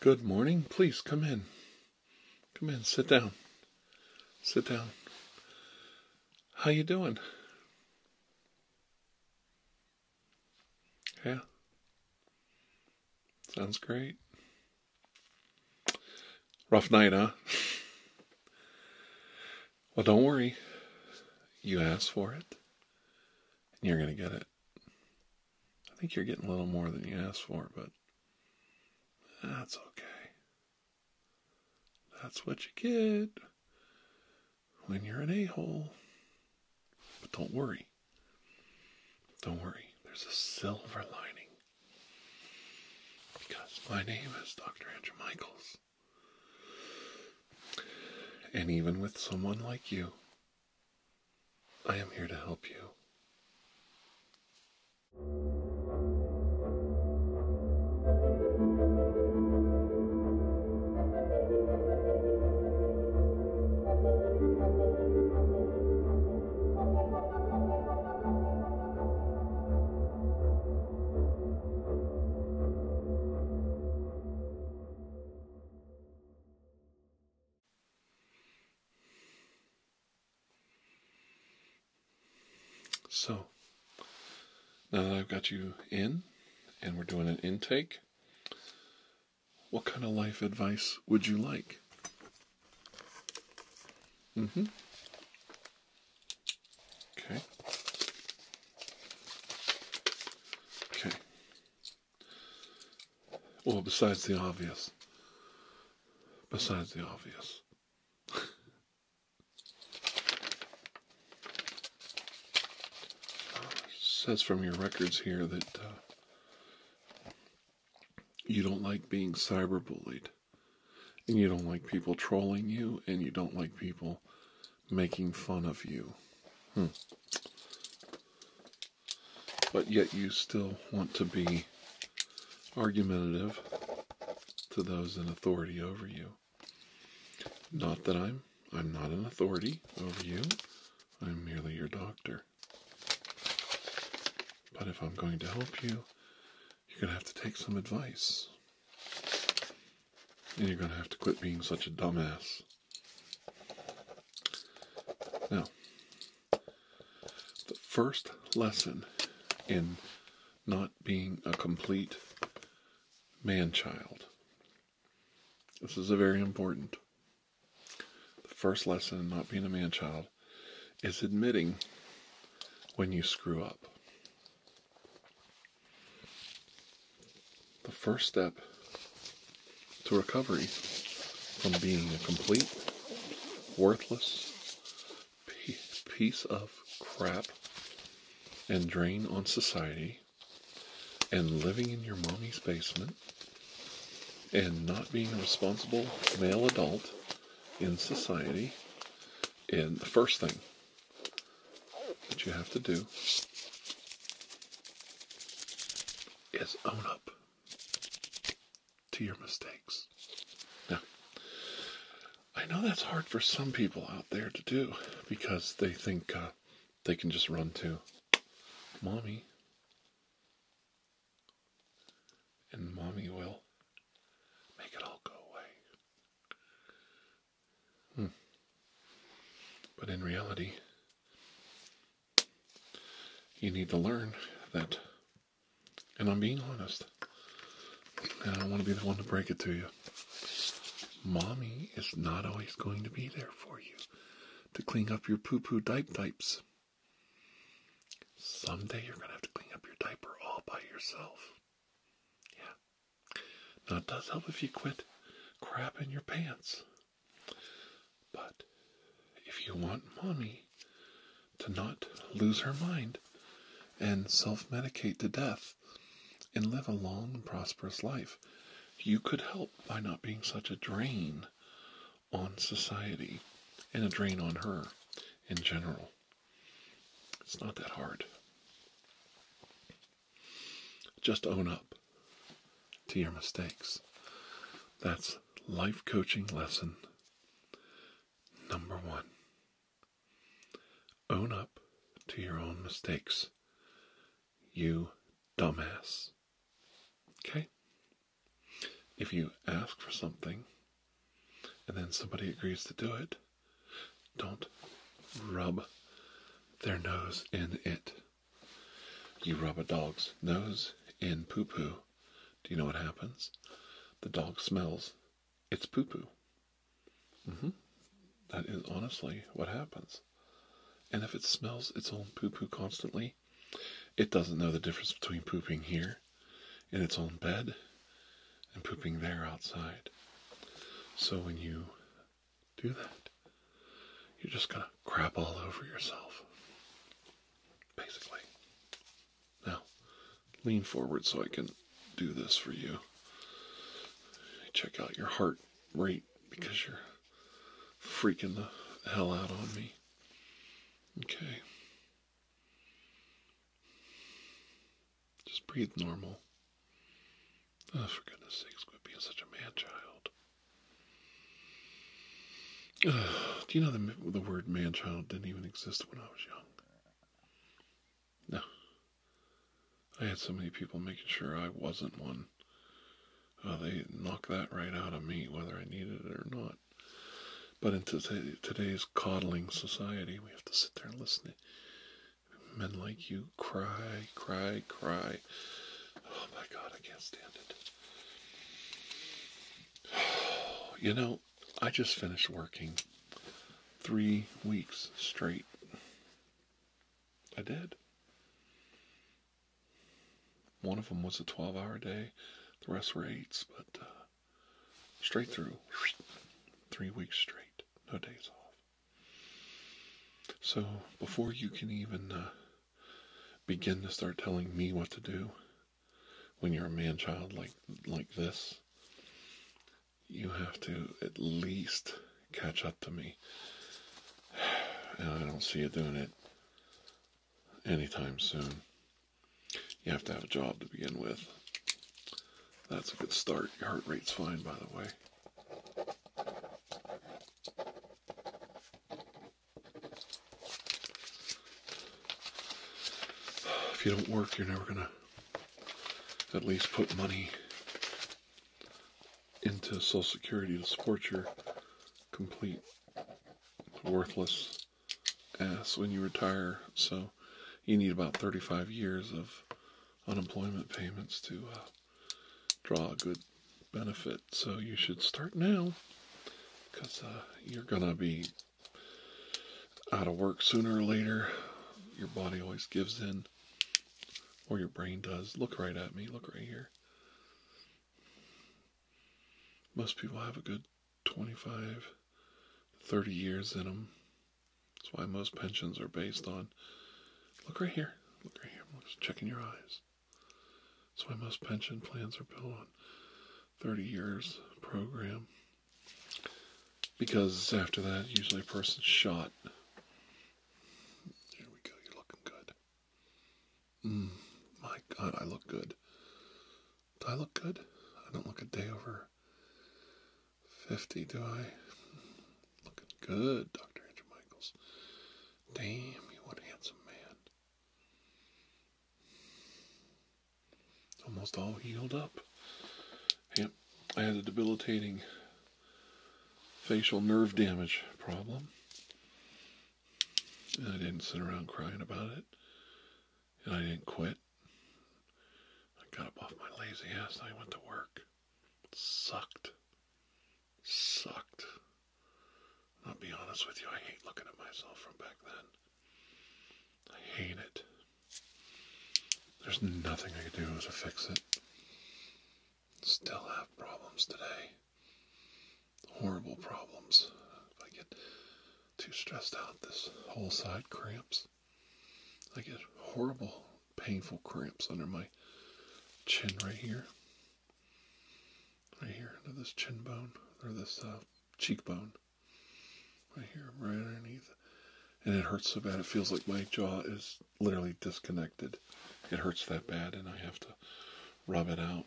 Good morning. Please come in. Come in. Sit down. Sit down. How you doing? Yeah. Sounds great. Rough night, huh? well, don't worry. You asked for it, and you're going to get it. I think you're getting a little more than you asked for, but that's okay. That's what you get when you're an a hole. But don't worry. Don't worry. There's a silver lining. Because my name is Dr. Andrew Michaels. And even with someone like you, I am here to help you. So, now that I've got you in and we're doing an intake, what kind of life advice would you like? Mm hmm. Okay. Okay. Or besides the obvious. Besides the obvious. says from your records here that uh, you don't like being cyberbullied, and you don't like people trolling you, and you don't like people making fun of you. Hmm but yet you still want to be argumentative to those in authority over you. Not that I'm I'm not an authority over you. I'm merely your doctor. But if I'm going to help you, you're going to have to take some advice. And you're going to have to quit being such a dumbass. Now, the first lesson in not being a complete man child. This is a very important. The first lesson in not being a man child is admitting when you screw up. The first step to recovery from being a complete, worthless piece of crap and drain on society and living in your mommy's basement and not being a responsible male adult in society. And the first thing that you have to do is own up to your mistakes. Now, I know that's hard for some people out there to do because they think uh, they can just run to mommy and mommy will make it all go away. Hmm. But in reality, you need to learn that. And I'm being honest. And I don't want to be the one to break it to you. Mommy is not always going to be there for you to clean up your poo poo diaper diapers. Someday you're going to have to clean up your diaper all by yourself. Yeah. Now, it does help if you quit crap in your pants. But if you want mommy to not lose her mind and self medicate to death and live a long and prosperous life, you could help by not being such a drain on society and a drain on her in general. It's not that hard. Just own up to your mistakes. That's life coaching lesson number one. Own up to your own mistakes, you dumbass. Okay? If you ask for something and then somebody agrees to do it, don't rub their nose in it. You rub a dog's nose in poo poo. Do you know what happens? The dog smells its poo poo. Mm-hmm. is honestly what happens. And if it smells its own poo poo constantly, it doesn't know the difference between pooping here in its own bed and pooping there outside. So when you do that, you're just gonna crap all over yourself basically. Now, lean forward so I can do this for you. Check out your heart rate because you're freaking the hell out on me. Okay. Just breathe normal. Oh, for goodness sakes, quit being such a man child. do you know the, word man child didn't even exist when I was young? No. I had so many people making sure I wasn't one. Uh, they knocked that right out of me, whether I needed it or not. But in today's coddling society, we have to sit there and listen men like you cry, cry, cry. Oh my God, I can't stand it. You know, I just finished working three weeks straight. I did. One of them was a 12 hour day, the rest were eights, but uh, straight through, three weeks straight, no days off. So before you can even uh, begin to start telling me what to do when you're a man child like like this you have to at least catch up to me and i don't see you doing it anytime soon you have to have a job to begin with that's a good start your heart rate's fine by the way if you don't work, you're never gonna at least put money into Social Security to support your complete worthless ass when you retire. So you need about 35 years of unemployment payments to uh, draw a good benefit. So you should start now because uh, you're going to be out of work sooner or later. Your body always gives in, or your brain does. Look right at me, look right here. Most people have a good 25, 30 years in them. That's why most pensions are based on. Look right here. Look right here. I'm just checking your eyes. That's why most pension plans are built on 30 years program. Because after that, usually a person's shot. Here we go, you're looking good. Mm, my god, I look good. Do I look good? I don't look a day over 50, do I? Looking good, Dr. Andrew Michaels. Damn, you one handsome man. Almost all healed up. Yep, I had a debilitating facial nerve damage problem. And I didn't sit around crying about it. And I didn't quit. I got up off my lazy ass and I went to work. It sucked sucked. I'll be honest with you, I hate looking at myself from back then. I hate it. There's nothing I could do to fix it. Still have problems today. Horrible problems. If I get too stressed out, this whole side cramps. I get horrible, painful cramps under my chin right here right here under this chin bone or this uh, cheekbone, right here, right underneath. And it hurts so bad, it feels like my jaw is literally disconnected. It hurts that bad, and I have to rub it out.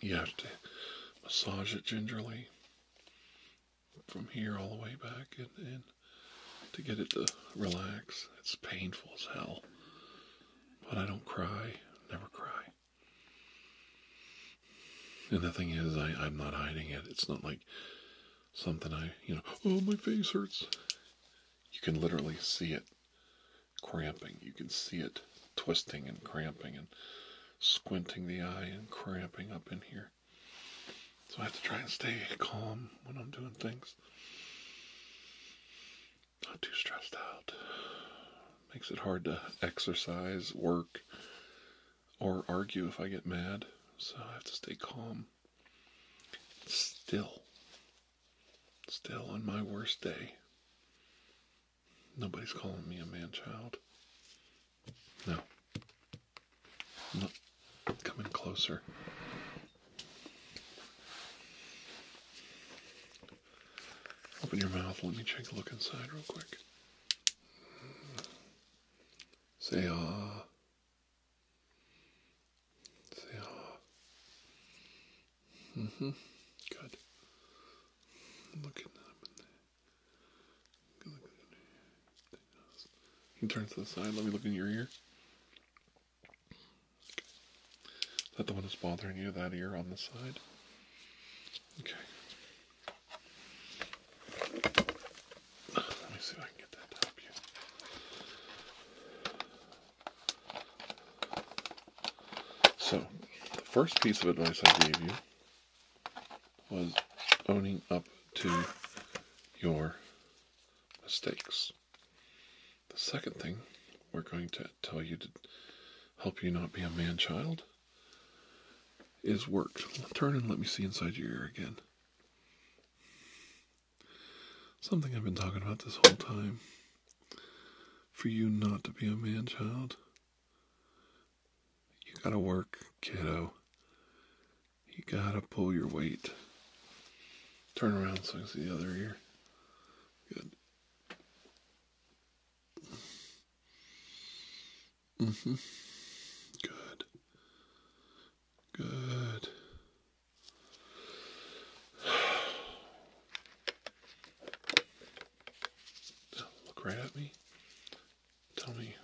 You have to massage it gingerly from here all the way back and to get it to relax. It's painful as hell. But I don't cry, never cry. And the thing is, I, am not hiding it. It's not like something I, you know, oh, my face hurts. You can literally see it cramping. You can see it twisting and cramping and squinting the eye and cramping up in here. So I have to try and stay calm when I'm doing things not too stressed out. Makes it hard to exercise, work, or argue if I get mad, so I have to stay calm. Still, still on my worst day, nobody's calling me a man child. No, coming closer. Open your mouth. Let me take a look inside real quick. Say ah. Say ah. hmm. Good. Look at them. Good look at You can turn to the side. Let me look in your ear. Is that the one that's bothering you, that ear on the side? Okay. Let me see if I can get that to help you. So, the first piece of advice I gave you was owning up to your mistakes. The second thing we're going to tell you to help you not be a man child is work. Turn and let me see inside your ear again. Something I've been talking about this whole time. For you not to be a man child, you gotta work, kiddo. You gotta pull your weight. Turn around so I can see the other ear. Good. Mm-hmm. Good. Good. look right at me. Tell me.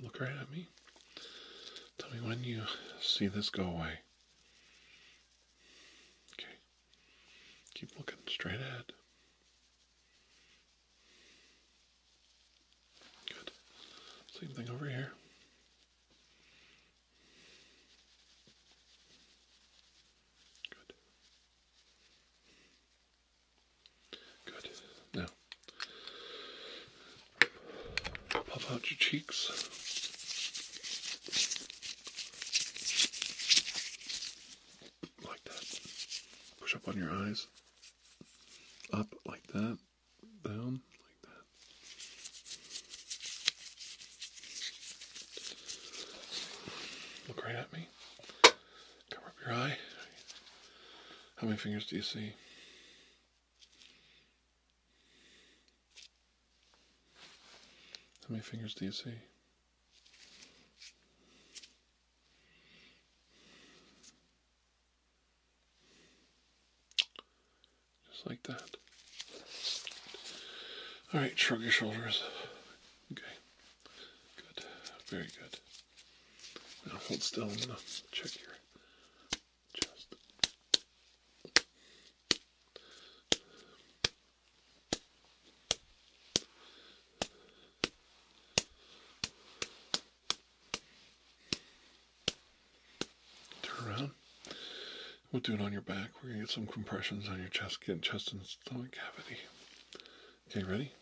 Look right at me. Tell me when you see this go away. Okay. Keep looking straight ahead. Good. Same thing over here. Good. Good. Now, puff out your cheeks. Like that. Push up on your eyes. Up like that. Down like that. Look right at me. Cover up your eye. How many fingers do you see? How many fingers do you see? Just like that. All right, shrug your shoulders. Okay. Good. Very good. Now hold still. I'm gonna check your chest. Turn around. We'll do it on your back. We're gonna get some compressions on your chest, get chest and stomach cavity. Okay, ready?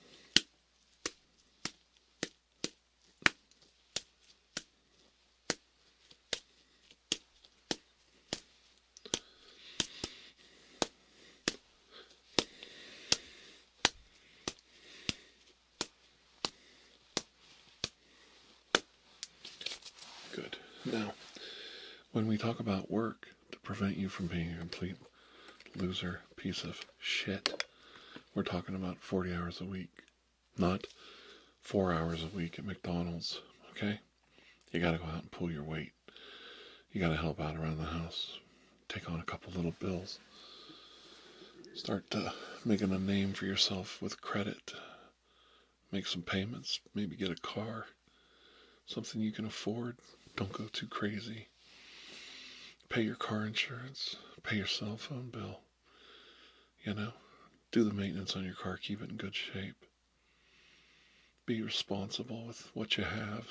Good. Now, when we talk about work to prevent you from being a complete loser piece of shit, we're talking about 40 hours a week, not four hours a week at McDonald's. Okay, you got to go out and pull your weight, you got to help out around the house, take on a couple little bills, start making a name for yourself with credit, make some payments, maybe get a car, something you can afford. Don't go too crazy pay your car insurance, pay your cell phone bill, you know, do the maintenance on your car, keep it in good shape. Be responsible with what you have.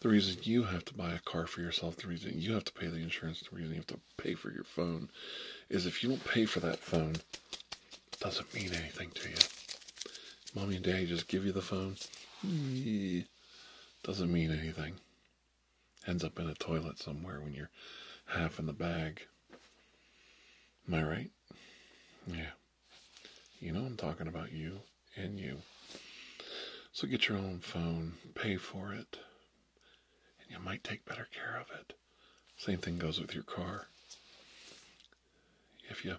The reason you have to buy a car for yourself, the reason you have to pay the insurance, the reason you have to pay for your phone is if you don't pay for that phone, it doesn't mean anything to you. Mommy and daddy just give you the phone. Eh, doesn't mean anything ends up in a toilet somewhere when you're half in the bag. Am I right? Yeah. You know I'm talking about you and you. So get your own phone, pay for it, and you might take better care of it. Same thing goes with your car. If you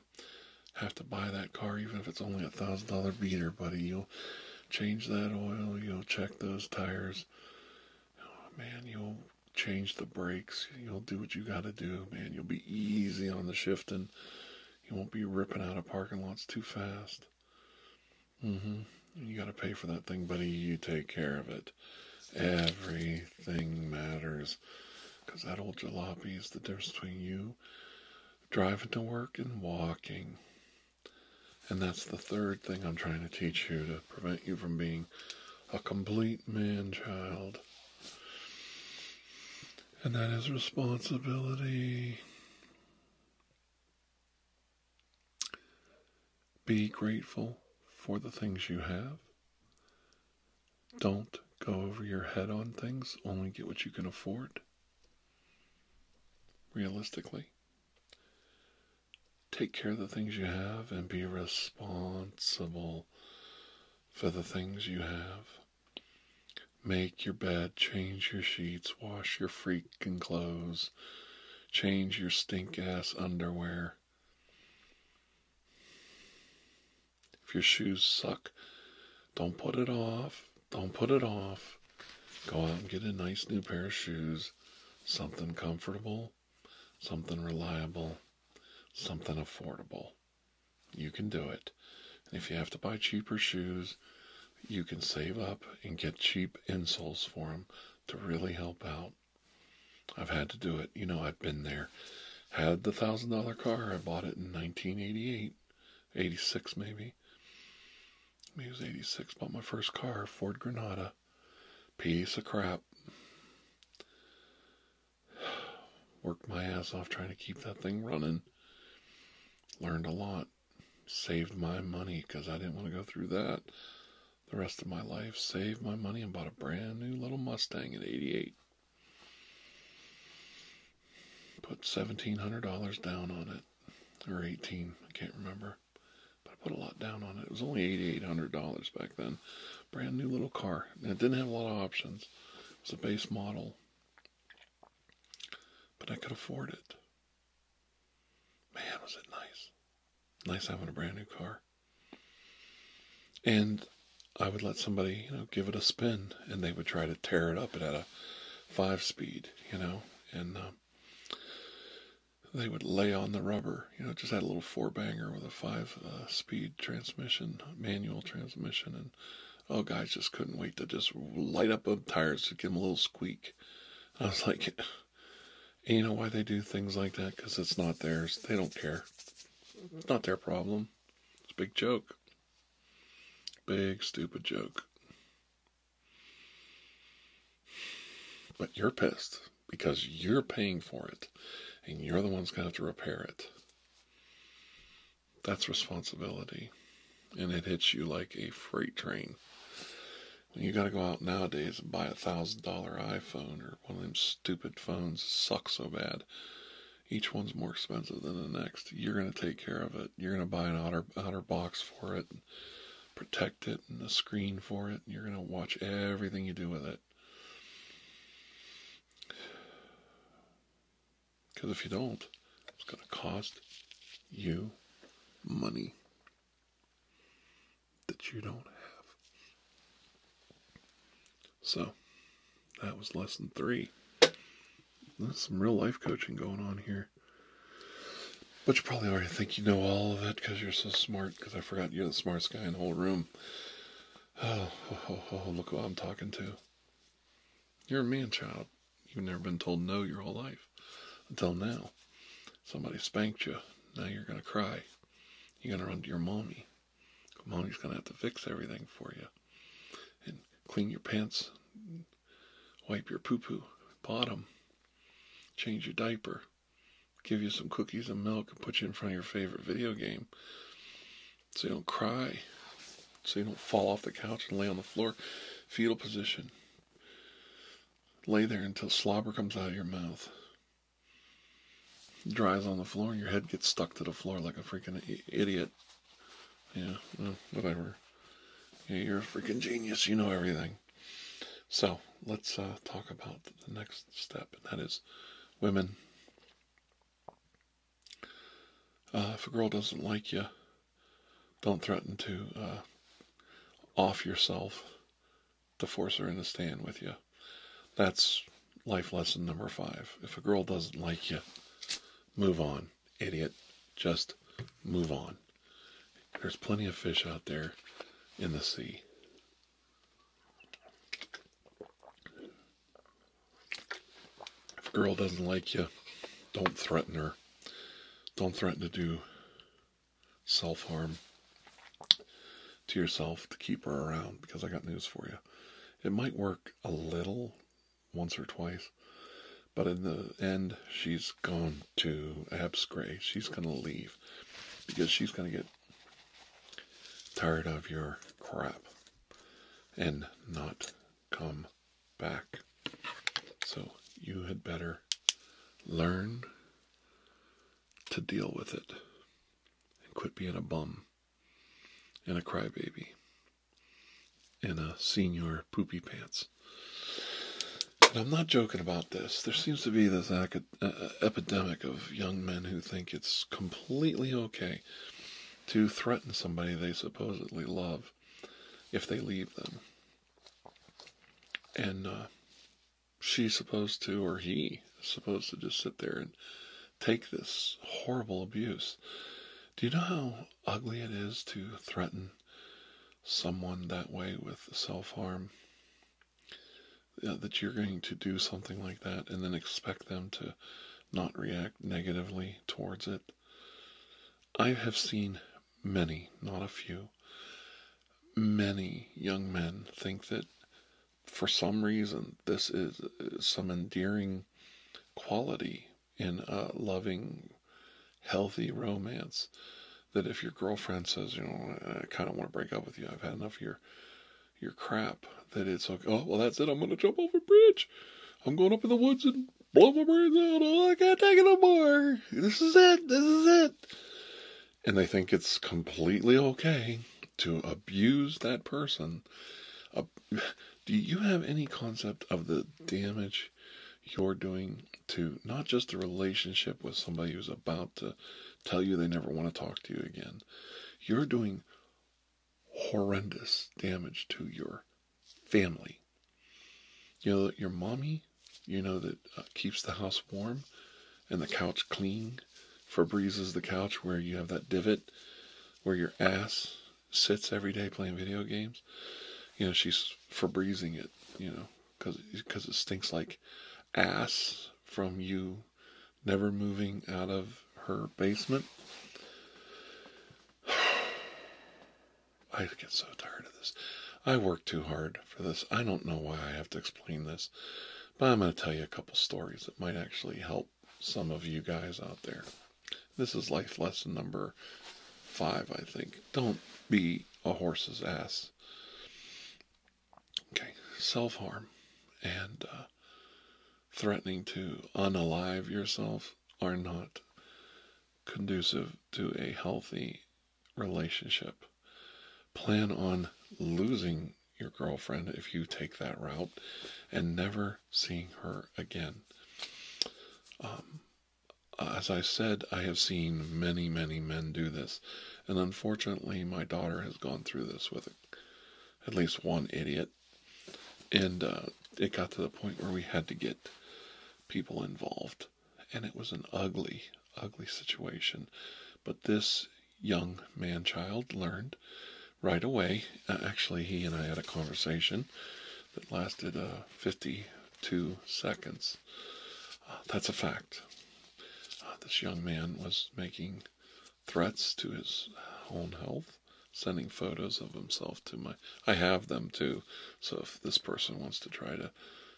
have to buy that car, even if it's only a thousand dollar beater, buddy, you'll change that oil, you'll check those tires. Oh, man, you'll change the brakes. You'll do what you got to do, man. You'll be easy on the shifting. You won't be ripping out of parking lots too fast. Mm-hmm. You got to pay for that thing, buddy. You take care of it. Everything matters. Because that old jalopy is the difference between you driving to work and walking. And that's the third thing I'm trying to teach you to prevent you from being a complete man child. And that is responsibility. Be grateful for the things you have. Don't go over your head on things, only get what you can afford realistically. Take care of the things you have and be responsible for the things you have. Make your bed, change your sheets, wash your freaking clothes, change your stink ass underwear. If your shoes suck, don't put it off. Don't put it off. Go out and get a nice new pair of shoes. Something comfortable, something reliable, something affordable. You can do it. And if you have to buy cheaper shoes, you can save up and get cheap insoles for them to really help out. I've had to do it. You know, I've been there. Had the $1,000 car, I bought it in 1988, 86 maybe me. I was 86, bought my first car, Ford Granada. Piece of crap. Worked my ass off trying to keep that thing running. Learned a lot. Saved my money because I didn't want to go through that the rest of my life. Saved my money and bought a brand new little Mustang in 88 put $1,700 down on it, or 18 I can't remember. But I put a lot down on it. It was only $8,800 back then. Brand new little car. And it didn't have a lot of options. It was a base model. But I could afford it. Man, was it nice. Nice having a brand new car. And I would let somebody, you know, give it a spin and they would try to tear it up. It had a five speed, you know and um, they would lay on the rubber. You know, just had a little four banger with a five uh, speed transmission, manual transmission, and oh, guys just couldn't wait to just light up the tires to give them a little squeak. I was like, you know why they do things like that? Because it's not theirs. They don't care. It's mm-hmm. not their problem. It's a big joke. Big stupid joke. But you're pissed because you're paying for it and you're the one's going to have to repair it. That's responsibility. And it hits you like a freight train. When you got to go out nowadays and buy a $1,000 iPhone or one of them stupid phones suck so bad, each one's more expensive than the next. You're going to take care of it. You're going to buy an outer Otter box for it, protect it, and a screen for it. you're going to watch everything you do with it. Because if you don't, it's going to cost you money that you don't have. So, that was lesson three. There's some real life coaching going on here. But you probably already think you know all of it because you're so smart, because I forgot you're the smartest guy in the whole room. Oh, oh, look who I'm talking to. You're a man child. You've never been told no your whole life until now. Somebody spanked you. Now you're going to cry. You're going to run to your mommy. Mommy's going to have to fix everything for you and clean your pants, wipe your poo poo bottom, change your diaper, give you some cookies and milk, and put you in front of your favorite video game so you don't cry, so you don't fall off the couch and lay on the floor, fetal position. Lay there until slobber comes out of your mouth. Dries on the floor, and your head gets stuck to the floor like a freaking idiot. Yeah, whatever. you're a freaking genius. You know everything. So let's uh, talk about the next step, and that is women. Uh, if a girl doesn't like you, don't threaten to uh, off yourself to force her into staying with you. That's life lesson number five. If a girl doesn't like you, move on idiot. Just move on. There's plenty of fish out there in the sea. If a girl doesn't like you, don't threaten her. Don't threaten to do self harm to yourself to keep her around because I got news for you. It might work a little once or twice. But in the end, she's gone to Abscray. She's going to leave because she's going to get tired of your crap and not come back. So you had better learn to deal with it and quit being a bum and a crybaby in a uh, senior poopy pants. And I'm not joking about this. There seems to be this uh, uh, epidemic of young men who think it's completely okay to threaten somebody they supposedly love if they leave them. And she's supposed to, or he's supposed to just sit there and take this horrible abuse. Do you know how ugly it is to threaten someone that way with self harm, that you're going to do something like that and then expect them to not react negatively towards it. I have seen many, not a few, many young men think that for some reason this is some endearing quality in a loving, healthy romance that if your girlfriend says, you know, I kind of want to break up with you, I've had enough of your, your crap, that it's like, oh, well, that's it, I'm going to jump off a bridge. I'm going up in the woods and blow my brains out. Oh, I can't take it no more. This is it. This is it. And they think it's completely okay to abuse that person. do you have any concept of the damage you're doing to not just a relationship with somebody who's about to tell you they never want to talk to you again. You're doing horrendous damage to your family. You know, your mommy, you know, that uh, keeps the house warm and the couch clean. Febreze is the couch where you have that divot where your ass sits every day playing video games. You know, she's Febrezing it, you know, because because it stinks like ass from you never moving out of her basement. I get so tired of this. I work too hard for this. I don't know why I have to explain this, but I'm going to tell you a couple stories that might actually help some of you guys out there. This is life lesson number five, I think. Don't be a horse's ass. Okay, self harm and uh, threatening to unalive yourself are not conducive to a healthy relationship. Plan on losing your girlfriend if you take that route and never seeing her again. Um, as I said, I have seen many, many men do this, and unfortunately my daughter has gone through this with at least one idiot. And uh, it got to the point where we had to get people involved, and it was an ugly, ugly situation. But this young man child learned right away. Uh, actually, he and I had a conversation that lasted uh, 50, two seconds. Uh, that's a fact. Uh, this young man was making threats to his own health, sending photos of himself to my. I have them too, so if this person wants to try to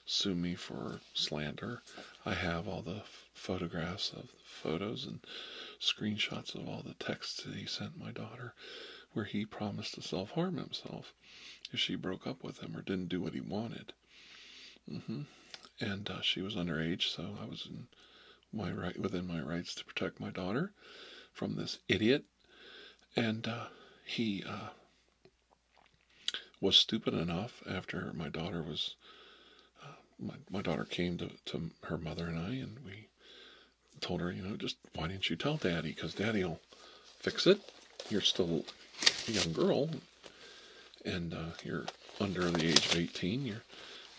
sue me for slander, I have all the photographs of the photos and screenshots of all the texts that he sent my daughter where he promised to self harm himself if she broke up with him or didn't do what he wanted. Mm-hmm. And uh, she was underage, so I was in my right within my rights to protect my daughter from this idiot. And uh, he uh, was stupid enough after my daughter was. My, daughter came to, her mother and I, and we told her, you know, just why didn't you tell daddy? Because daddy will fix it. You're still a young girl, and uh, you're under the age of 18. You're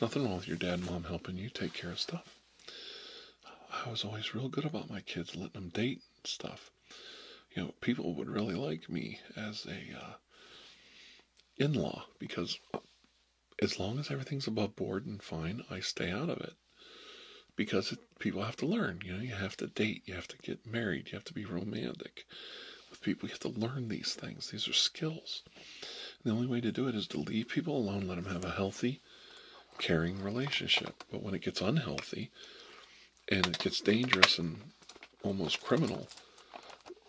nothing wrong with your dad mom helping you take care of stuff. I was always real good about my kids, letting them date and stuff. You know, people would really like me as a uh, in-law because as long as everything's above board and fine, I stay out of it because people have to learn. You know, you have to date, you have to get married, you have to be romantic with people. You have to learn these things. These are skills. the only way to do it is to leave people alone, let them have a healthy, caring relationship. But when it gets unhealthy and it gets dangerous and almost criminal,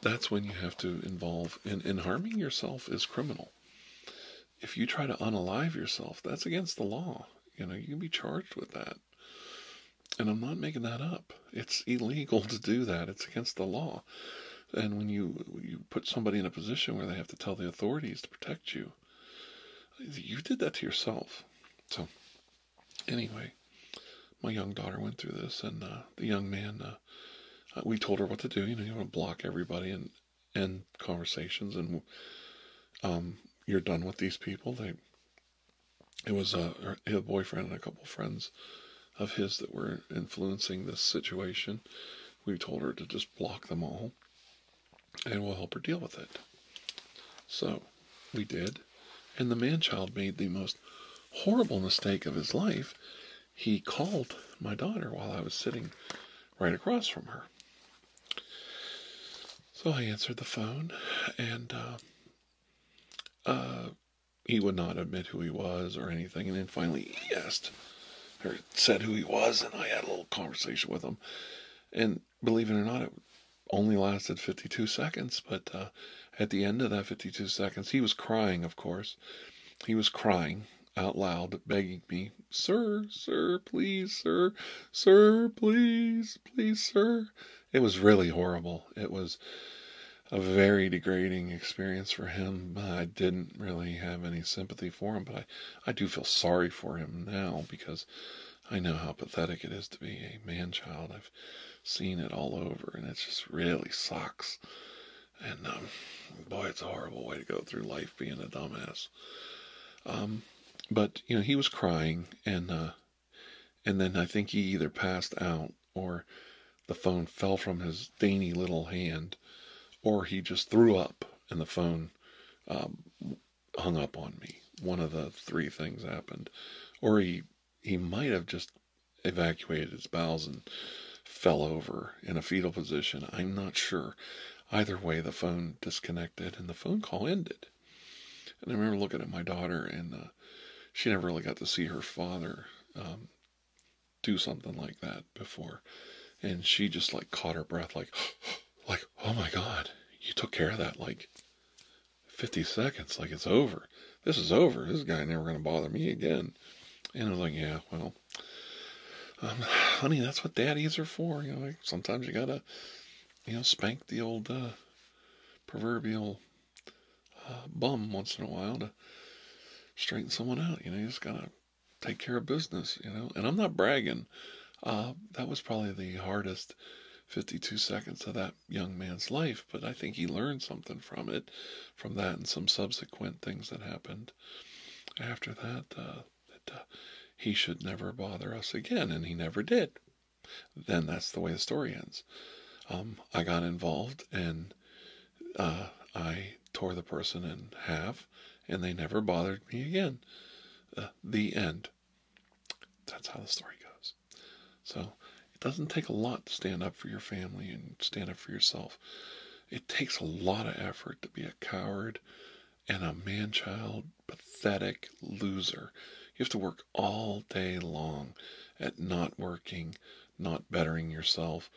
that's when you have to involve and, and harming yourself is criminal. If you try to unalive yourself, that's against the law. You know, you can be charged with that. And I'm not making that up. It's illegal to do that. It's against the law. And when you you put somebody in a position where they have to tell the authorities to protect you, you did that to yourself. So, anyway, my young daughter went through this, and uh, the young man, uh, uh, we told her what to do. You know, you want to block everybody and and conversations and um, you're done with these people. They, it was a, boyfriend and a couple friends of his that were influencing this situation. We told her to just block them all and we'll help her deal with it. So we did. And the man child made the most horrible mistake of his life. He called my daughter while I was sitting right across from her. So I answered the phone, and uh, uh, he would not admit who he was or anything. And then finally, he asked or said who he was, and I had a little conversation with him. And believe it or not, it only lasted 52 seconds. But uh, at the end of that 52 seconds, he was crying, of course. He was crying out loud, begging me "Sir, sir, please, sir, sir, please, please, sir." It was really horrible. It was a very degrading experience for him. I didn't really have any sympathy for him, but I, I do feel sorry for him now because I know how pathetic it is to be a man child. I've seen it all over, and it just really sucks. And um, boy, it's a horrible way to go through life being a dumbass. Um, but you know, he was crying, and uh, and then I think he either passed out or the phone fell from his dainty little hand, or he just threw up, and the phone um, hung up on me. One of the three things happened, or he he might have just evacuated his bowels and fell over in a fetal position. I'm not sure. Either way, the phone disconnected and the phone call ended. And I remember looking at my daughter, and uh, she never really got to see her father um, do something like that before. And she just like caught her breath, like, like, oh my God, you took care of that. Like, 50 seconds, like it's over. This is over. This guy never going to bother me again. And I was like, yeah, well, um, honey, that's what daddies are for. You know, like sometimes you got to you know, spank the old uh, proverbial uh, bum once in a while to straighten someone out. You know, you just gotta take care of business. You know, and I'm not bragging. Uh, that was probably the hardest 52 seconds of that young man's life, but I think he learned something from it, from that and some subsequent things that happened after that. Uh, that uh, he should never bother us again, and he never did. Then that's the way the story ends. Um, I got involved and uh, I tore the person in half, and they never bothered me again. Uh, the end. That's how the story goes. So it doesn't take a lot to stand up for your family and stand up for yourself. It takes a lot of effort to be a coward and a man child, pathetic loser. You have to work all day long at not working, not bettering yourself,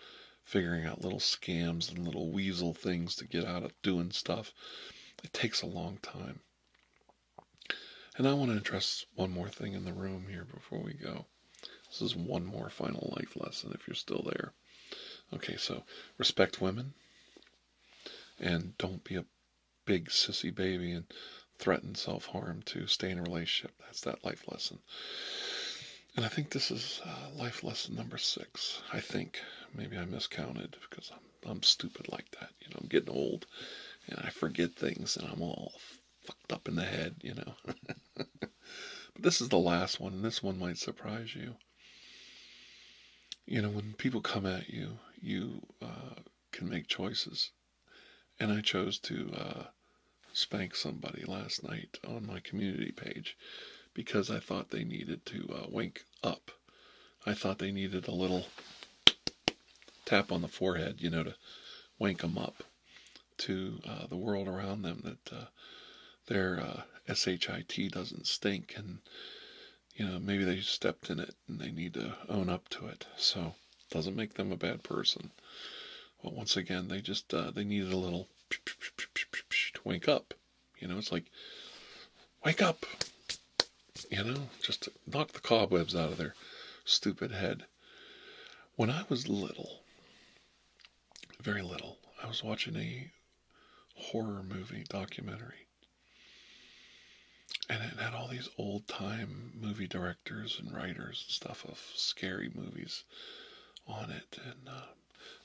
figuring out little scams and little weasel things to get out of doing stuff. It takes a long time. And I want to address one more thing in the room here before we go. This is one more final life lesson if you're still there. Okay, so respect women and don't be a big sissy baby and threaten self harm to stay in a relationship. That's that life lesson. And I think this is uh, life lesson number six. I think maybe I miscounted because I'm I'm stupid like that. You know, I'm getting old, and I forget things, and I'm all fucked up in the head. You know. but this is the last one, and this one might surprise you you know when people come at you you uh, can make choices and i chose to uh, spank somebody last night on my community page because i thought they needed to uh, wake up i thought they needed a little tap on the forehead you know to wake them up to uh, the world around them that their shit doesn't stink and you know maybe they stepped in it and they need to own up to it. So doesn't make them a bad person. But once again, they just uh, they needed a little to wake up. You know, it's like wake up. You know, just knock the cobwebs out of their stupid head. When I was little, very little, I was watching a horror movie documentary and it had all these old time movie directors and writers and stuff of scary movies on it. And uh,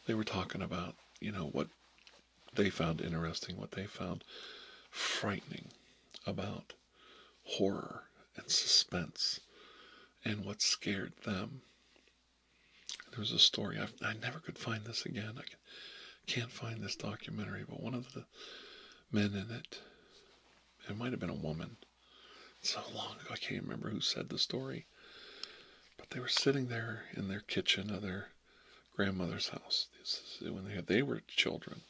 they were talking about, you know, what they found interesting, what they found frightening about horror and suspense and what scared them. There was a story, i never could find this again can't find this documentary, but one of the men in it, it might have been a woman, so long ago I can't remember who said the story, but they were sitting there in their kitchen of their grandmother's house when they, they were children.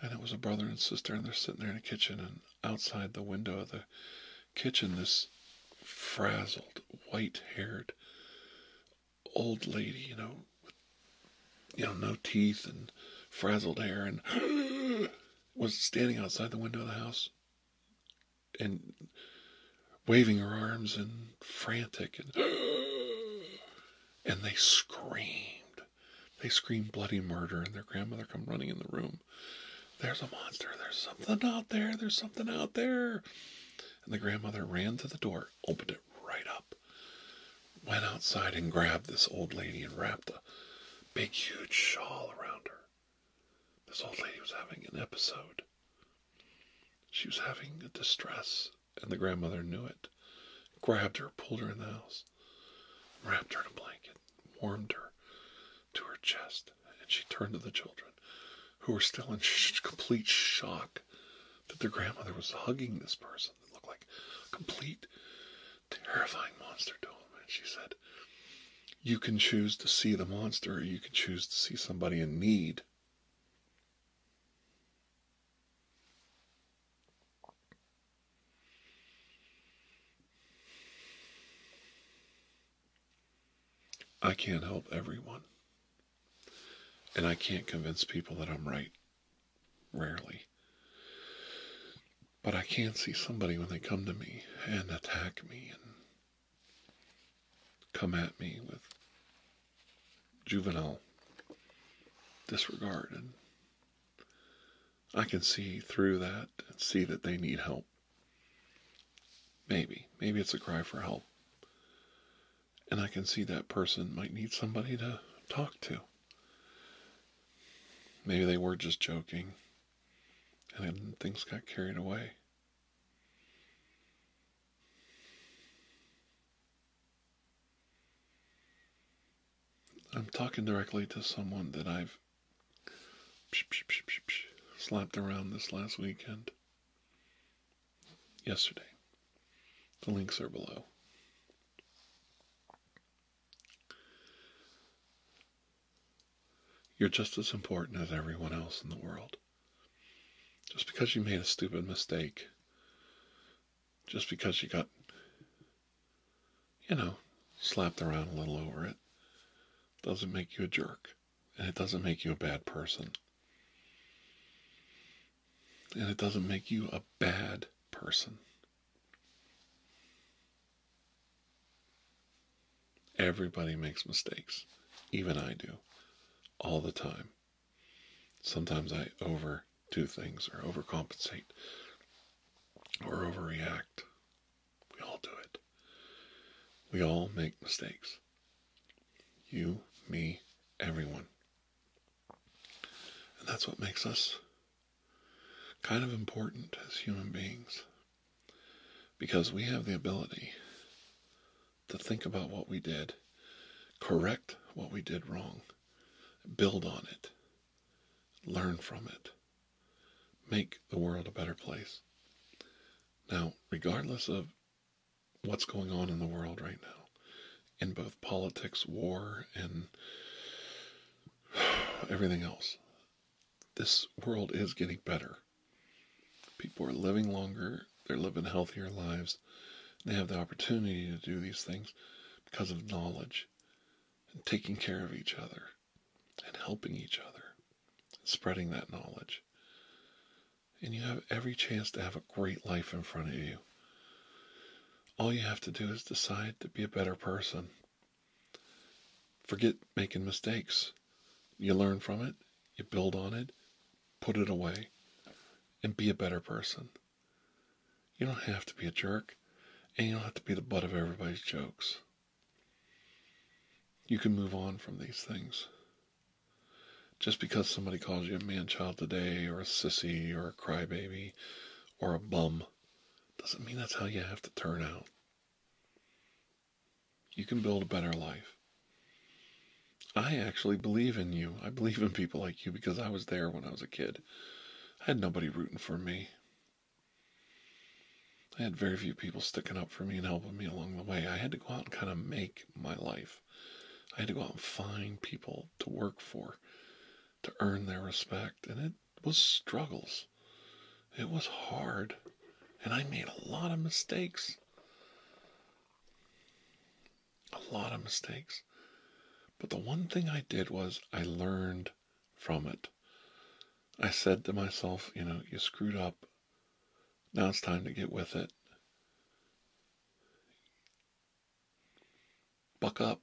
And it was a brother and sister, and they're sitting there in the kitchen, and outside the window of the kitchen, this frazzled, white haired old lady, you know, with you know, no teeth and frazzled hair and was standing outside the window of the house and waving her arms and frantic and and they screamed. They screamed bloody murder and their grandmother come running in the room. There's a monster, there's something out there, there's something out there. And the grandmother ran to the door, opened it right up. Went outside and grabbed this old lady and wrapped a big, huge shawl around her. This old lady was having an episode. She was having a distress, and the grandmother knew it. Grabbed her, pulled her in the house, wrapped her in a blanket, warmed her to her chest, and she turned to the children, who were still in complete shock that their grandmother was hugging this person that looked like a complete, terrifying monster to him. And she said, You can choose to see the monster, or you can choose to see somebody in need. I can't help everyone. And I can't convince people that I'm right. Rarely. But I can see somebody when they come to me and attack me and come at me with juvenile disregard. And I can see through that and see that they need help. Maybe. Maybe it's a cry for help and I can see that person might need somebody to talk to. Maybe they were just joking, and then things got carried away. I'm talking directly to someone that I've slapped around this last weekend yesterday. The links are below. You're just as important as everyone else in the world. Just because you made a stupid mistake, just because you got, you know, slapped around a little over it, doesn't make you a jerk. And it doesn't make you a bad person and it doesn't make you a bad person. Everybody makes mistakes, even I do, all the time. Sometimes I overdo things or overcompensate or overreact. We all do it. We all make mistakes. You, me, everyone. And that's what makes us kind of important as human beings because we have the ability to think about what we did, correct what we did wrong, build on it, learn from it, make the world a better place. Now, regardless of what's going on in the world right now in both politics, war, and everything else. This world is getting better. People are living longer, they're living healthier lives. They have the opportunity to do these things because of knowledge and taking care of each other and helping each other, and spreading that knowledge and you have every chance to have a great life in front of you. All you have to do is decide to be a better person. Forget making mistakes. You learn from it, you build on it, put it away, and be a better person. You don't have to be a jerk, and you don't have to be the butt of everybody's jokes. You can move on from these things. Just because somebody calls you a manchild today, or a sissy, or a crybaby, or a bum, doesn't mean that's how you have to turn out. You can build a better life. I actually believe in you. I believe in people like you because I was there when I was a kid. I had nobody rooting for me. I had very few people sticking up for me and helping me along the way. I had to go out and kind of make my life. I had to go out and find people to work for, to earn their respect, and it was struggles. It was hard, and I made a lot of mistakes. A lot of mistakes. But the one thing I did was I learned from it. I said to myself, you know, you screwed up. Now it's time to get with it. Buck up.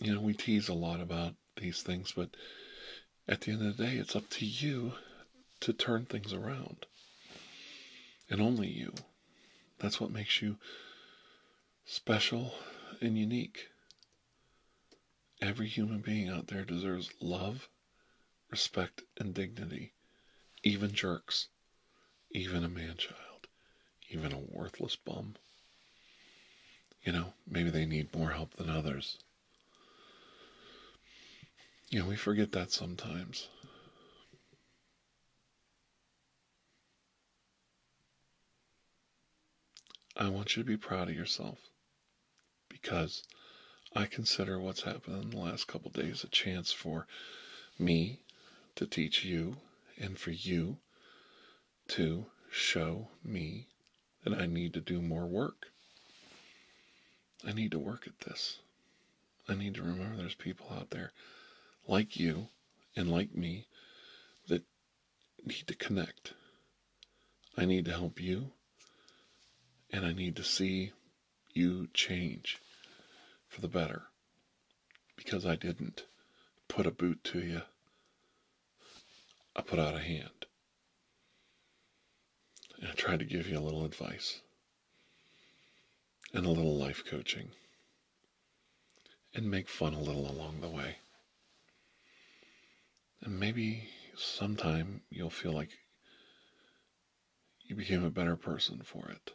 You know, we tease a lot about these things, but at the end of the day, it's up to you to turn things around. And only you. That's what makes you special and unique. Every human being out there deserves love respect, and dignity, even jerks, even a man child, even a worthless bum. You know, maybe they need more help than others. You know, we forget that sometimes. I want you to be proud of yourself because I consider what's happened in the last couple days a chance for me to teach you and for you to show me that I need to do more work. I need to work at this. I need to remember there's people out there like you and like me that need to connect. I need to help you, and I need to see you change for the better because I didn't put a boot to you, I put out a hand and I tried to give you a little advice and a little life coaching and make fun a little along the way. And maybe sometime you'll feel like you became a better person for it.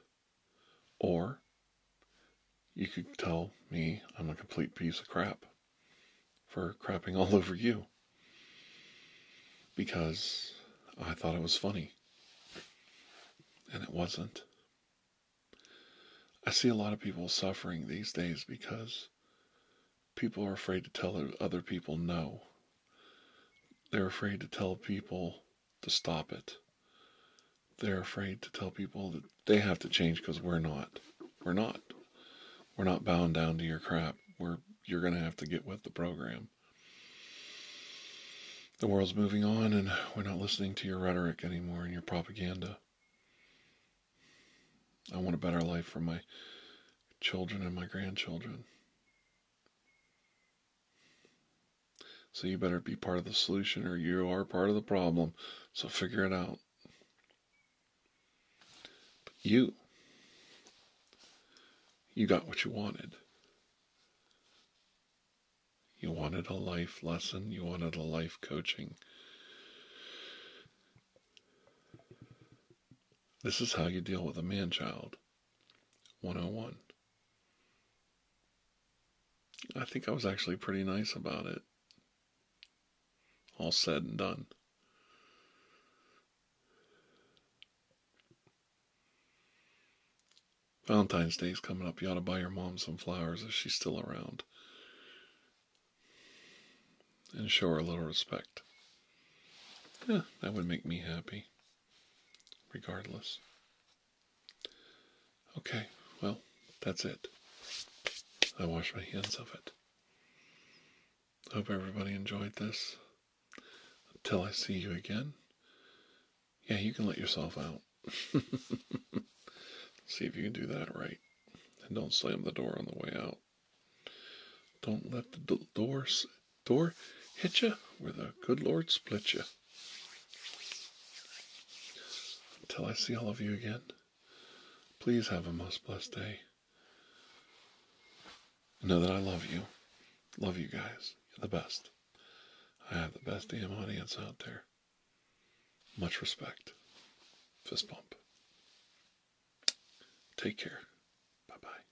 Or you could tell me I'm a complete piece of crap for crapping all over you because I thought it was funny and it wasn't. I see a lot of people suffering these days because people are afraid to tell other people no. They're afraid to tell people to stop it. They're afraid to tell people that they have to change because we're not. We're not. We're not bound down to your crap. We're you're gonna have to get with the program. The world's moving on, and we're not listening to your rhetoric anymore and your propaganda. I want a better life for my children and my grandchildren. So you better be part of the solution or you are part of the problem. So figure it out. But you, you got what you wanted. You wanted a life lesson, you wanted a life coaching. This is how you deal with a man child 101. I think I was actually pretty nice about it. All said and done. Valentine's Day's coming up. You ought to buy your mom some flowers if she's still around. And show her a little respect. that would make me happy regardless. Okay, well, that's it. I wash my hands of it. Hope everybody enjoyed this. Until I see you again. Yeah, you can let yourself out. see if you can do that right. And don't slam the door on the way out. Don't let the door door hit you where the good Lord split you. Until I see all of you again, please have a most blessed day. know that I love you. Love you guys. You're the best. I have the best damn audience out there. Much respect. Fist bump. Take care. Bye bye.